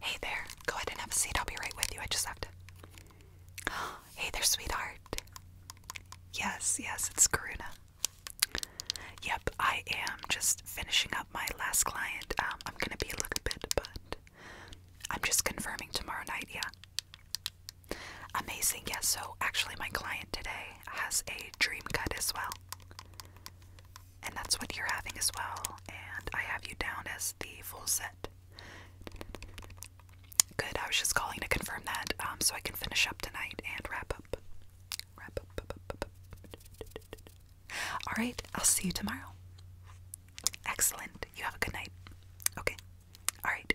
Hey there, go ahead and have a seat. I'll be right with you. I just have to. Hey there, sweetheart. Yes, yes, it's Karuna. Yep, I am just finishing up my last client. Um, I'm gonna be a little bit, but I'm just confirming tomorrow night, yeah. Amazing, yes. So, actually, my client today has a dream cut as well. And that's what you're having as well. And I have you down as the full set. Good, I was just calling to confirm that um, so I can finish up tonight and wrap up. Wrap up. Alright, I'll see you tomorrow. Excellent. You have a good night. Okay. Alright,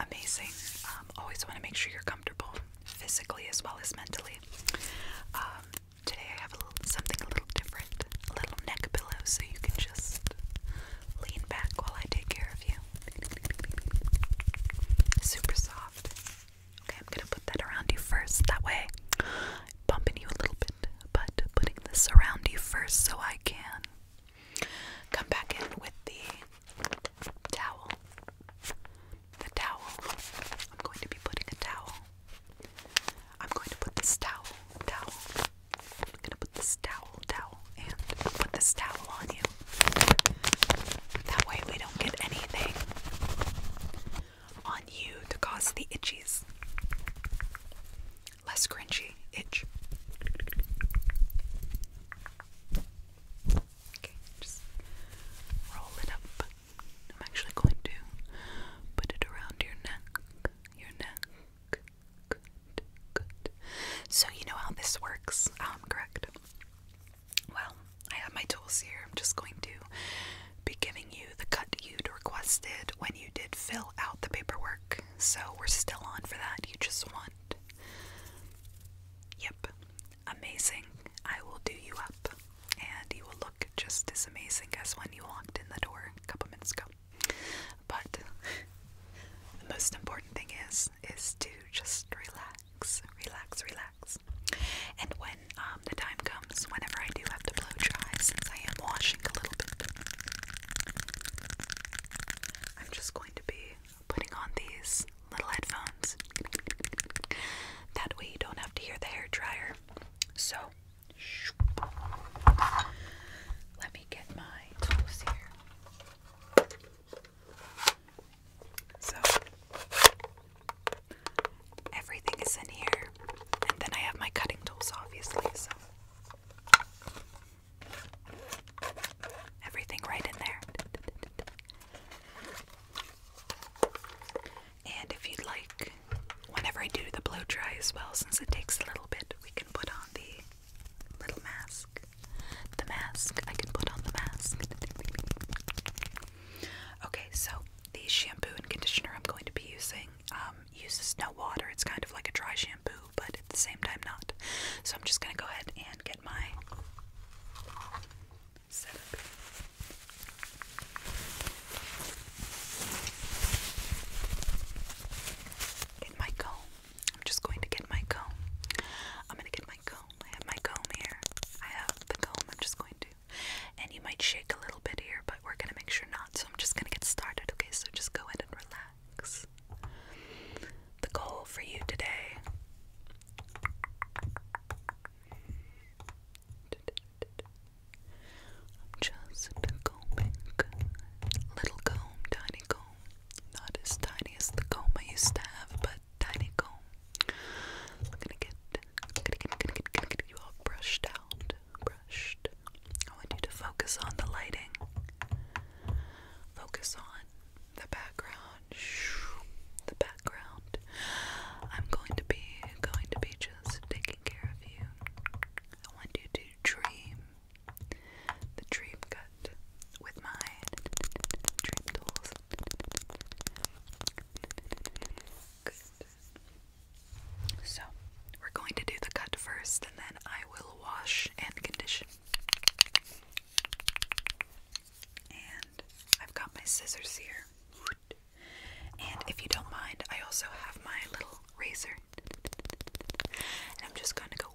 amazing. Um, always want to make sure you're comfortable physically as well as mentally. Um, today I have a little, something a little different, a little neck pillow, so you can just lean back while I take care of you. Super soft. Okay, I'm gonna put that around you first. That way, bumping you a little bit, but putting this around you first so I can Come back in with the towel. The towel. I'm going to be putting a towel. I'm going to put this towel, towel. I'm going to put this towel, towel, and put this towel on you. That way we don't get anything on you to cause the itchies less cringy itch. Okay, just roll it up. I'm actually going to put it around your neck. Your neck. So, you know how this works, um, correct? Well, I have my tools here. I'm just going to be giving you the cut you requested when you did fill out the paperwork so we're still on for that. You just want. Yep, amazing. I will do you up, and you will look just as amazing as when you walked in the door a couple minutes ago. But the most important thing is is to just relax, relax, relax. And when um, the time comes, whenever I do have to blow dry, since I am washing a little bit, I'm just going to be putting on these little headphones. That way you don't have to hear the hair dryer. So, let me get my clothes here. So, everything is in here, and then I have my cutting tools, obviously. So, Everything right in there. And if you'd like, whenever I do the blow dry as well, since it takes a little bit, we can put on the little mask. The mask. I can put on the mask. Okay, so the shampoo and conditioner I'm going to be using um, uses no water. It's kind of like a dry shampoo, but at the same time not. So I'm just gonna go ahead and get my setup. Get my comb. I'm just going to get my comb. I'm gonna get my comb. I have my comb here. I have the comb. I'm just going to. And you might shake a little bit here, but we're gonna make sure not. So I'm just gonna get started. Okay, so just go ahead and relax. The goal for you today I'm just combing. Little comb, tiny comb. Not as tiny as the comb I used to have, but tiny comb. I'm gonna get, I'm going get, get get you all brushed out. I want you to focus on the lighting, focus on the background, the background. I'm going to be going to be just taking care of you. I want you to dream the dream cut with my dream tools. So, we're going to do the cut first, and then I I will wash and condition. And I've got my scissors here. And if you don't mind, I also have my little razor. And I'm just going to go.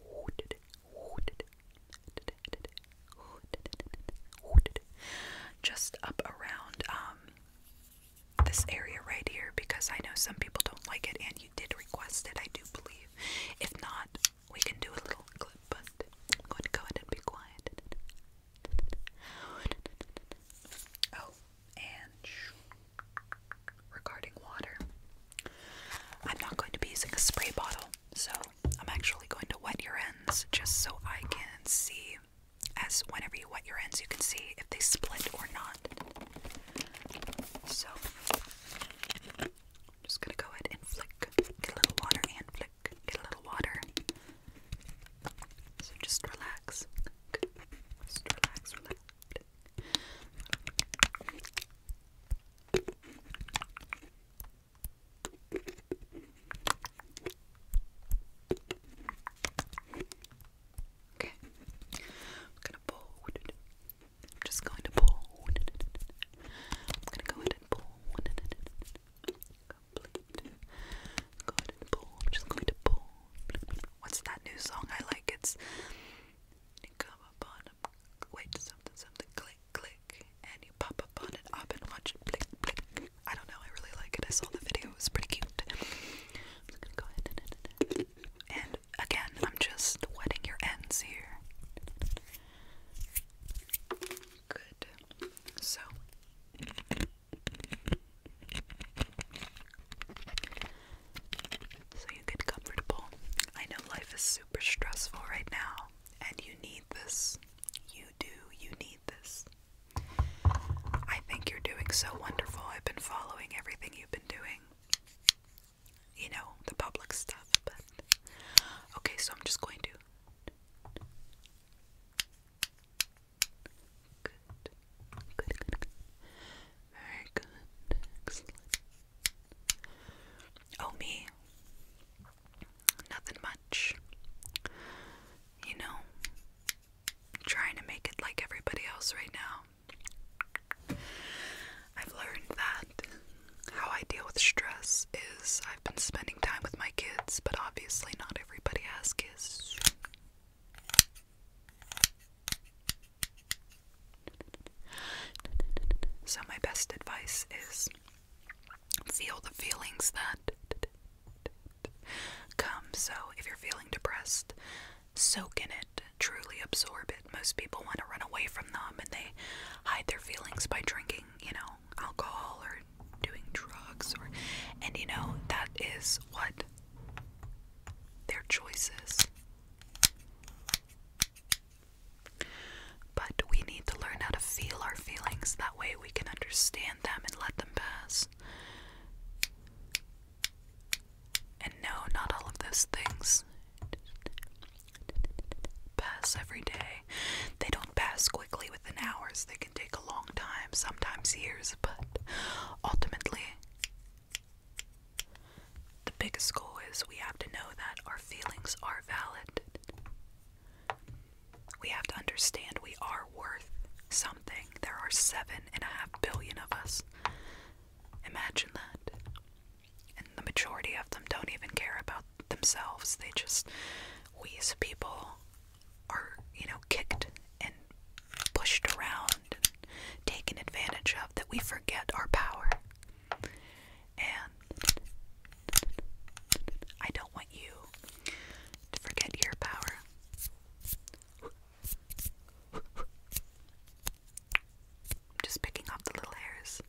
Just up around um, this area right here because I know some people don't like it, and you did request it, I do believe. If not, we can do a little clip, but I'm going to go ahead and be quiet. Oh, and regarding water, I'm not going to be using a spray bottle, so I'm actually going to wet your ends just so I can see. As whenever you wet your ends, you can see if they split or not. So, just gonna go ahead and flick, get a little water and flick, get a little water. So just relax, just relax, relax. Okay. I'm gonna pull. I'm just going to pull. I'm gonna go ahead and pull. Complete. Go ahead and pull. I'm just going to pull. What's that new song I like? It's you come up a wait something something click click and you pop up on it up and watch it blink blink. I don't know. I really like it. I saw the video. It was pretty cute. I'm gonna go ahead and, and again, I'm just wetting your ends here. Good. So so you get comfortable. I know life is super stressful right now and you need this. You do. You need this. I think you're doing so wonderful. I've been following everything you've been doing you know, the public stuff, but okay, so I'm just going to very good, Oh, me, nothing much, you know, trying to make it like everybody else right now. I've learned that how I deal with stress is I've been spending time with my kids, but obviously not everybody has kids. So, my best advice is feel the feelings that come. So, if you're feeling depressed, soak in it, truly absorb it. Most people want to run away from them and they hide their feelings by drinking, you know, alcohol or doing drugs or and you know, that is what their choice is. But we need to learn how to feel our feelings that way we can understand them and let them pass. And no, not all of those things pass every day. They don't pass quickly within hours, they can take a long time, sometimes years, but ultimately, the biggest goal is we have to know that our feelings are valid. We have to understand we are worth something. There are seven and a half billion of us. Imagine that. And the majority of them don't even care about themselves. They just, we as people are, you know, kicked and pushed around and taken advantage of that we forget our power. And I don't want you to forget your power. I'm just picking off the little hairs.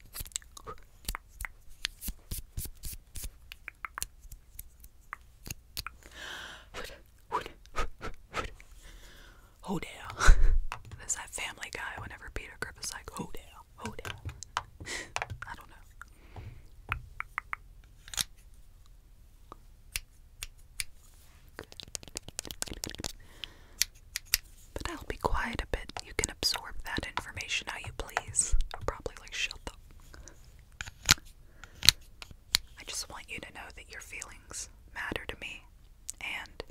Hodale. There's that family guy whenever Peter Grip is like, Hodale, Hodale. I don't know. But I'll be quiet a bit. You can absorb that information how you please. probably like shut the I just want you to know that your feelings matter to me. And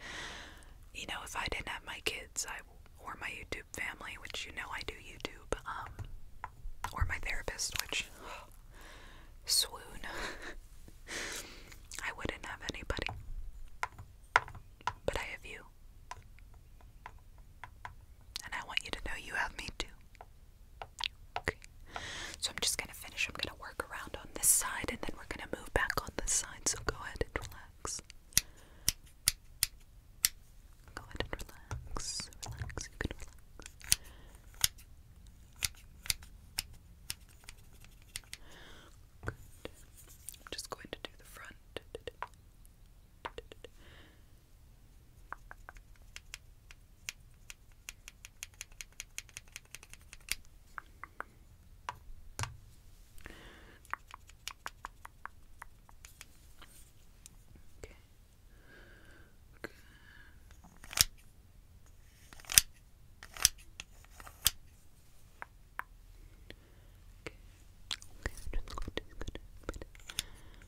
you know, if I didn't have my kids, I or my YouTube family, which you know I do YouTube, um, or my therapist, which swoon. I wouldn't have anybody, but I have you. And I want you to know you have me too. So I'm just going to finish. I'm going to work around on this side and then we're going to move back on this side. So go ahead and relax. Go ahead and relax. Relax. You can relax. Good. I'm just going to do the front. Okay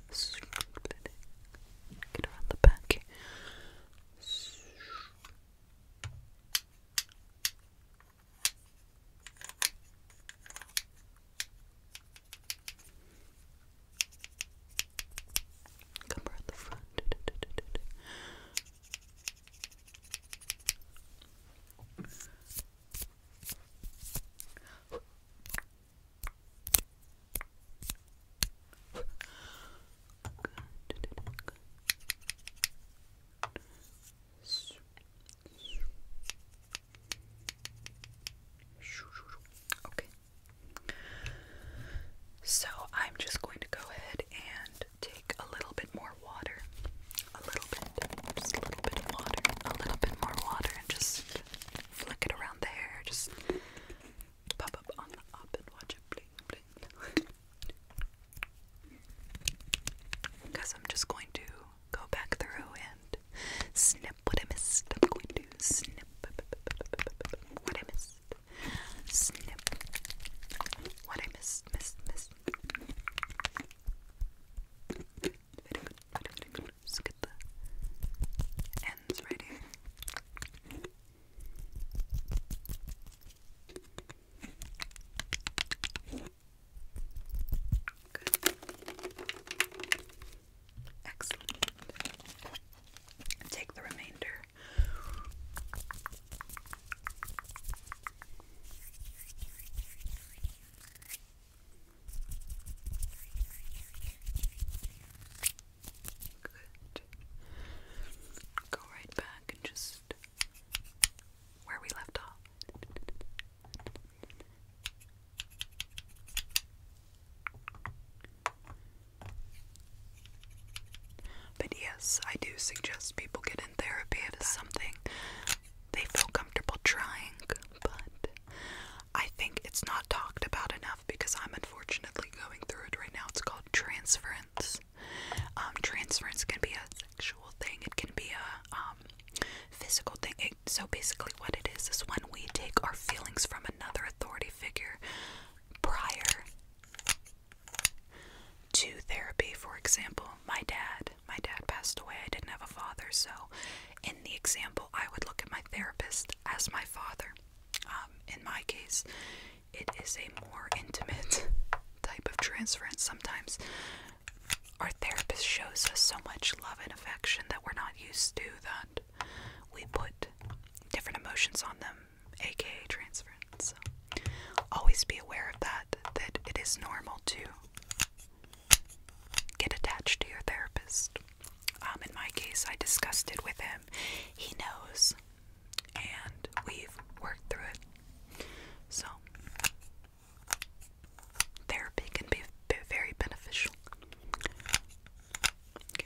just going to get around the back. Okay. Cover at the front. Okay. So I'm just going to go ahead and take a little bit more water. A little bit, just a little bit of water, a little bit more water, and just flick it around the hair. Just pop up on the up and watch it bling bling. Because I'm just going to go back through and snip what I missed. I'm going to snip what I missed. Snip. What I missed, missed, missed. Very the ends right here. Excellent. Take the remainder Good. Go right back and just where we left off. But yes, I do suggest people get in therapy. It is something they feel comfortable trying, but I think it's not talked about enough because I'm unfortunately going through it right now. It's called transference. Um, transference can be a sexual thing, it can be a um, physical thing. so basically, what it is is when we take our feelings from another authority figure prior to therapy, for example, my dad. My dad passed away. I didn't have a father, so in the example, I would look at my therapist as my father. Um, in my case, it is a more intimate type of transference. Sometimes our therapist shows us so much love and affection that we're not used to that we put different emotions on them aka transference. So always be aware of that, that it is normal to get attached to your therapist. Um, in my case, I discussed it with him. He knows, and we've worked through it. So, therapy can be very beneficial. Okay.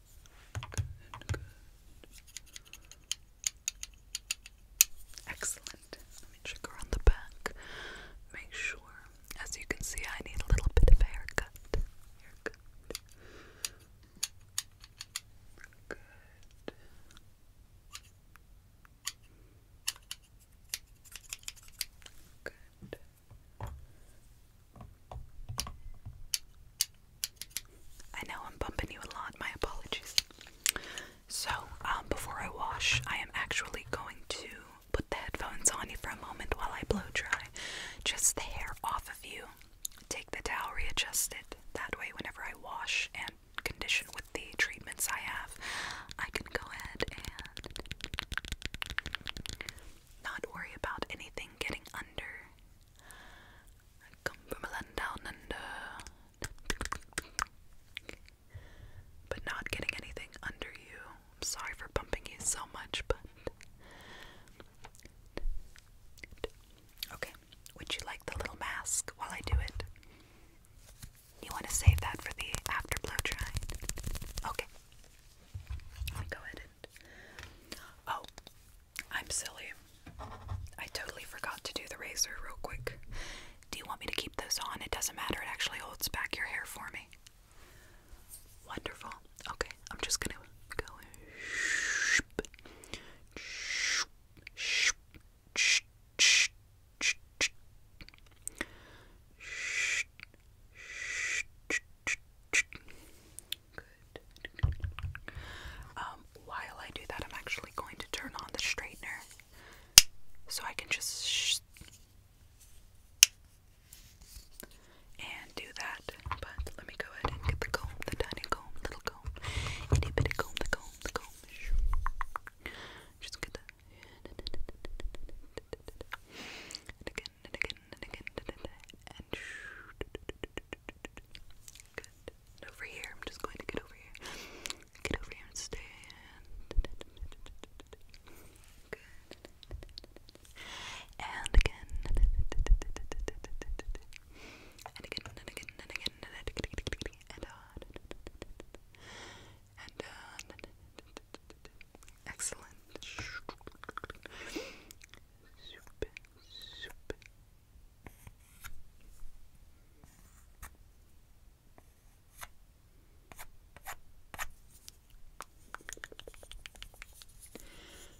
Excellent. Let me check around the back. Make sure. As you can see, I need a little bit of haircut. I know I'm bumping you a lot, my apologies. So, um, before I wash, I am actually going to put the headphones on you for a moment while I blow dry just the hair off of you. Take the towel, readjust it. That way, whenever I wash and condition with the treatments I have, I can go ahead and not worry about anything getting under I come from a land down under. But not getting anything under you. am sorry for bumping you so much, but. Okay, would you like the little mask while I do it? You want to save that for the after blow dry? Okay. I'll go ahead and. Oh, I'm silly. I totally forgot to do the razor real quick. Do you want me to keep those on? It doesn't matter. It actually holds back your hair for me. Wonderful. Okay, I'm just gonna go. Good. Um, while I do that, I'm actually going to turn on the straightener so I can just and do that. But let me go ahead and get the comb, the tiny comb, little comb, itty bitty comb, the comb, the comb. Just get that over here, I'm just going to get over here. Get over here and stand. Good. And again. And again. And again. And again. And again. And again. And on. And on. Excellent. Super, super,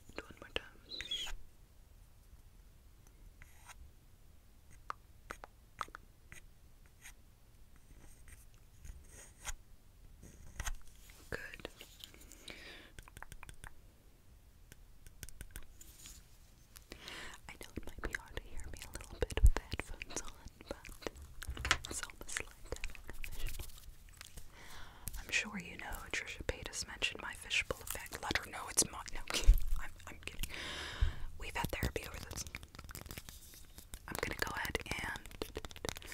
and one more time. Good. I know it might be hard to hear me a little bit with headphones on, but I'm sure you know Trisha Paytas mentioned my fishbowl effect. Let her know it's mine. No, i We've had therapy over this. I'm gonna go ahead and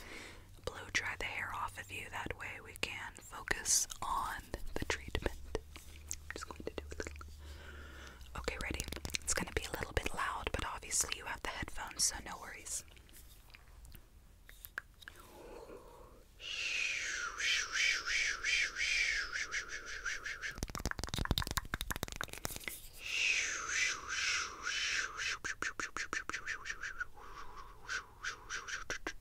blow dry the hair off of you. That way we can focus on the treatment. just going to do a little. Okay, ready? It's going to be a little bit loud, but obviously you have the headphones, so no worries.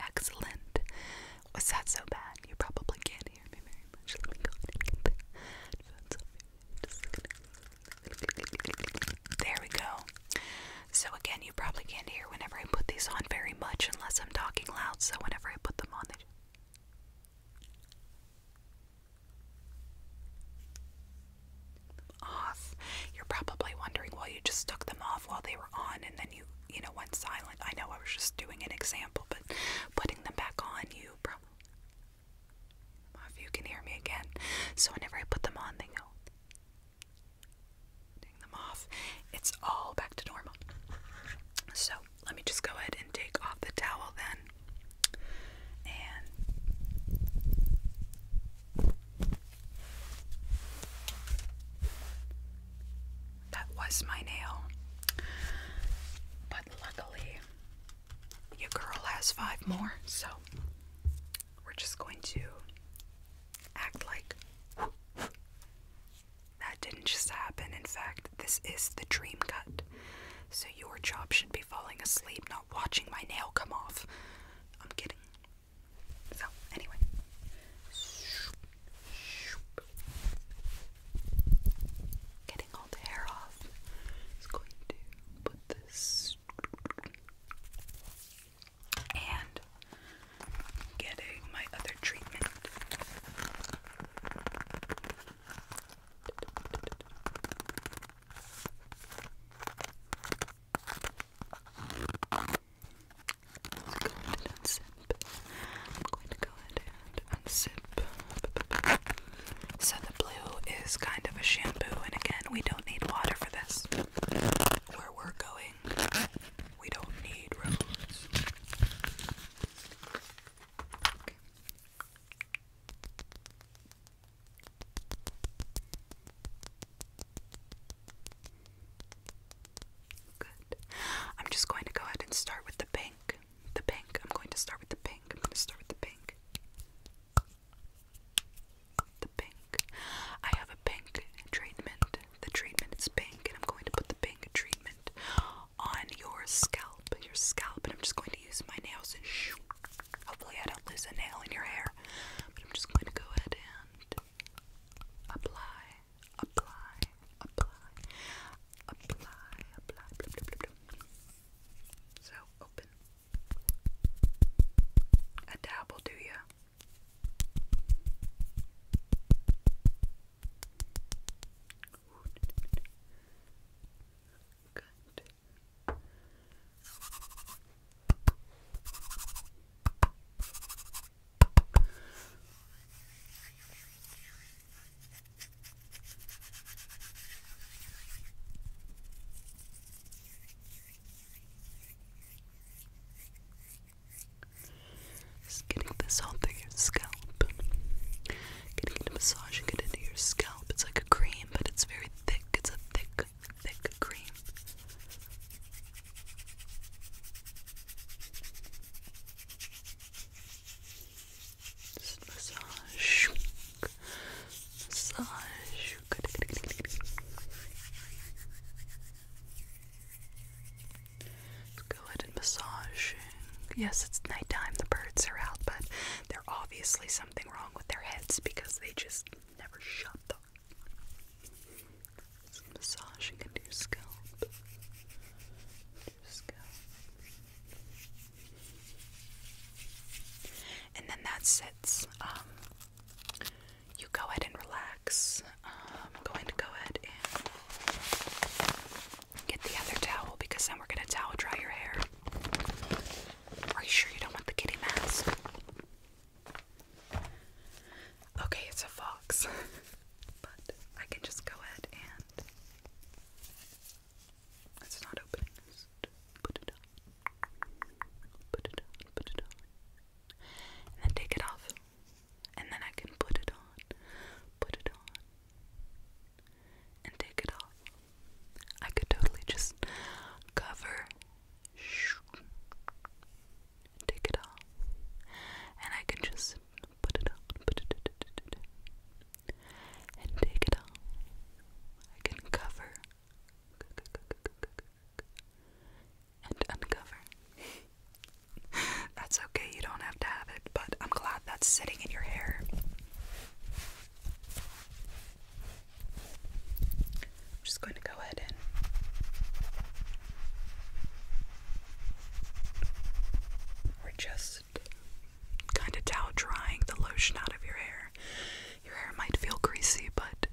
excellent was that so bad you probably can't hear me very much let me go there we go. So, again, you probably can't hear whenever I put these on very much unless I'm talking loud. So, whenever I put them on, Off. You're probably wondering, well, you just took them off while they were on and then you, you know, went silent. I know I was just doing an example, but putting them back on, you probably if you can hear me again. So whenever I put them on, they go. Take them off. It's all back to normal. So let me just go ahead and take off the towel then. And that was my nail. But luckily, your girl has five more, so we're just going to act like that didn't just happen. In fact, this is the dream cut. So your job should be falling asleep, not watching my nail come off. I'm kidding. So, anyway. Getting all the hair off. Just going to put the and getting my other treatment. I'm going to go ahead and unzip. So the blue is kind of a shampoo, and again, we don't need water for this. Where we're going, we don't need roads. Good. I'm just going to go ahead and start with the pink. The pink. I'm going to start with the pink. I'm going to start with the pink. The pink. I have a pink treatment. The treatment is pink, and I'm going to put the pink treatment on your scalp. Your scalp, and I'm just going to use my nails and shoot. Hopefully, I don't lose a nail in your hair. But I'm just going to go ahead and apply, apply, apply, apply, apply. So open, a dab do ya. Good. Just getting this all through your scalp. Getting it massage and get into your scalp. It's like a cream, but it's very thick. It's a thick, thick cream. massage, massage. Let's go ahead and massage. Yes, it's nighttime. The birds are out, but there's obviously something wrong with their heads because they just never shut them. So Into your scalp and then that sits. Um, you go ahead and relax. I'm going to go ahead and get the other towel because then we're going to towel dry your hair. Are you sure you don't want the kitty mask? Okay, it's a fox, but I can just go ahead and it's not opening. Just put it on. Put it on. Put it on. And then take it off. And then I can put it on. Put it on. And take it off. I could totally just cover. Take it off. And I can just put it on. Put it, put it, put it, and take it off. I can cover and uncover. that's okay, you don't have to have it, but I'm glad that's sitting in your hair. I'm just going to go ahead and we're just kind of towel drying the lotion out of your hair. Your hair might feel greasy, but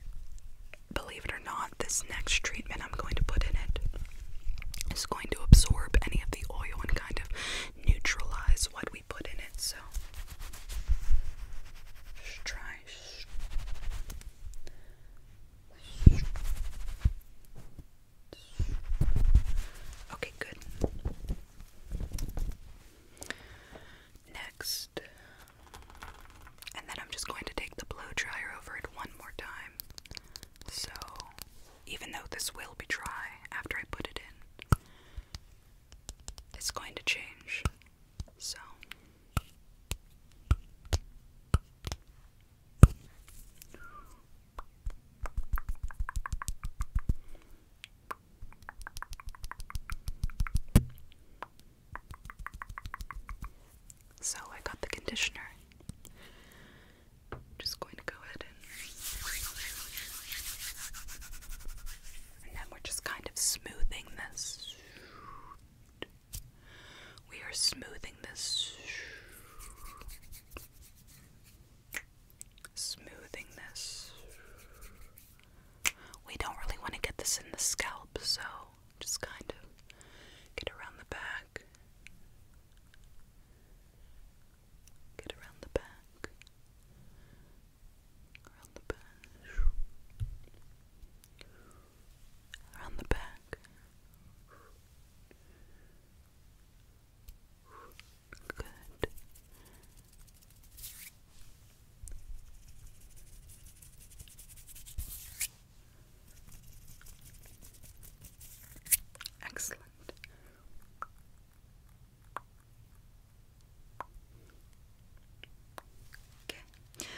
believe it or not, this next treatment I'm going to put in it is going to absorb any of the oil and kind of neutralize what we put in it. So, just try. Okay, good. Next. And then I'm just going to take the blow dryer over it one more time. So, even though this will be dry after I put it in, it's going to change. So. So I got the conditioner. just going to go ahead and and then we're just kind of smoothing this. We are smoothing this smoothing this. We don't really want to get this in the scalp, so just kind of get around the back. Get around the back. Around the back. Around the back. Good. Excellent. Okay.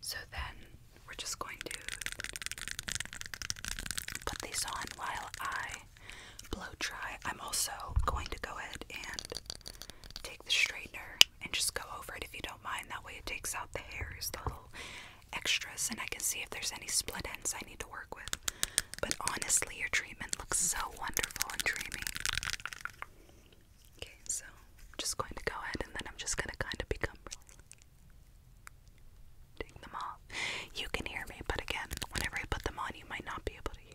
So then we're just going to put these on while I blow dry. I'm also going to go ahead and take the straightener and just go over it if you don't mind. That way it takes out the hairs, the little extras, and I can see if there's any split ends I need to work with. But honestly, your treatment looks so wonderful and dreamy. Okay, so I'm just going to go ahead and then I'm just going to kind of become really Take them off. You can hear me, but again, whenever I put them on, you might not be able to hear.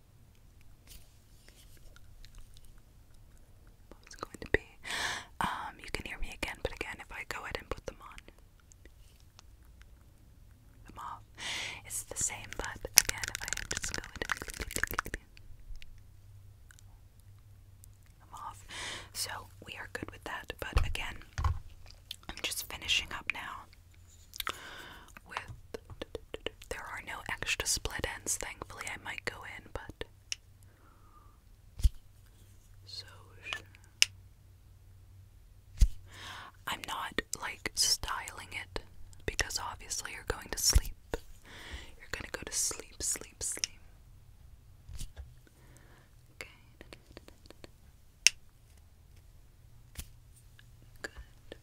it's going to be. Um, you can hear me again, but again, if I go ahead and put them on, them off, it's the same. But again, if I just go and I'm off. So we are good with that. But again, I'm just finishing up now with there are no extra split ends, thankfully. I might go in, but. So I'm not like styling it because obviously you're going to sleep. You're gonna go to sleep, sleep, sleep. Okay. Good.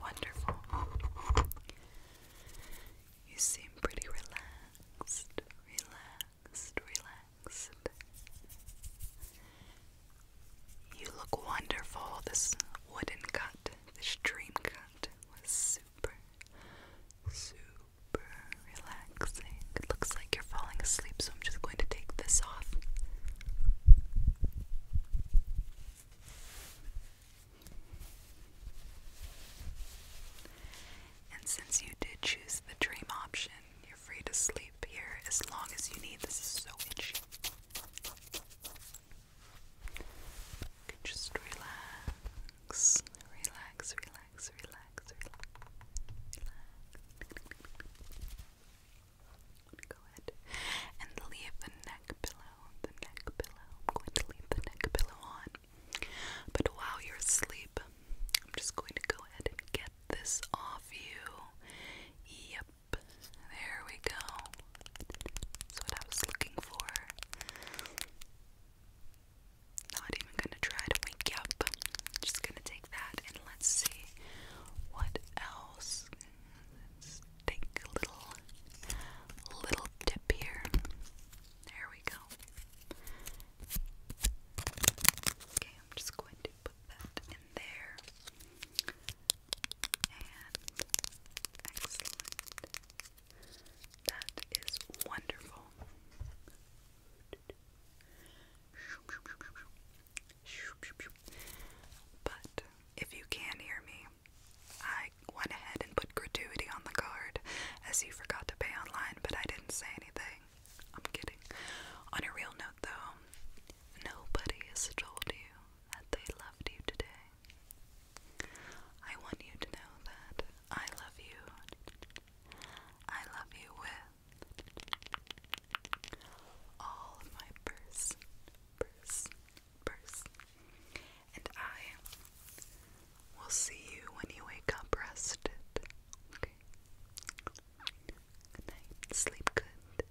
Wonderful. You seem pretty relaxed, relaxed, relaxed. You look wonderful. This wooden cut, this dream cut was super, super relaxing. It looks like you're falling asleep, so I'm just going to take this off. And since you did choose the dream option, you're free to sleep here as long as you need. This is so itchy. Just relax, relax, relax, relax, relax. Go ahead and leave the neck pillow, the neck pillow. I'm going to leave the neck pillow on. But while you're asleep, I'm just going to go ahead and get this off you. Yep, there we go. That's what I was looking for. Not even gonna try to wake up. Just gonna take that and let's see what else. Let's take a little, little dip here. There we go. Okay, I'm just going to put that in there. And That is wonderful. But if you can hear me, I went ahead and put gratuity on the card as you forgot to pay online, but I didn't say anything. I'm kidding. On a real note, though, nobody has told you that they loved you today. I want you to know that I love you. I love you with all of my person, person, person. And I will see you when you wake up rested. Okay? Good night. Sleep good.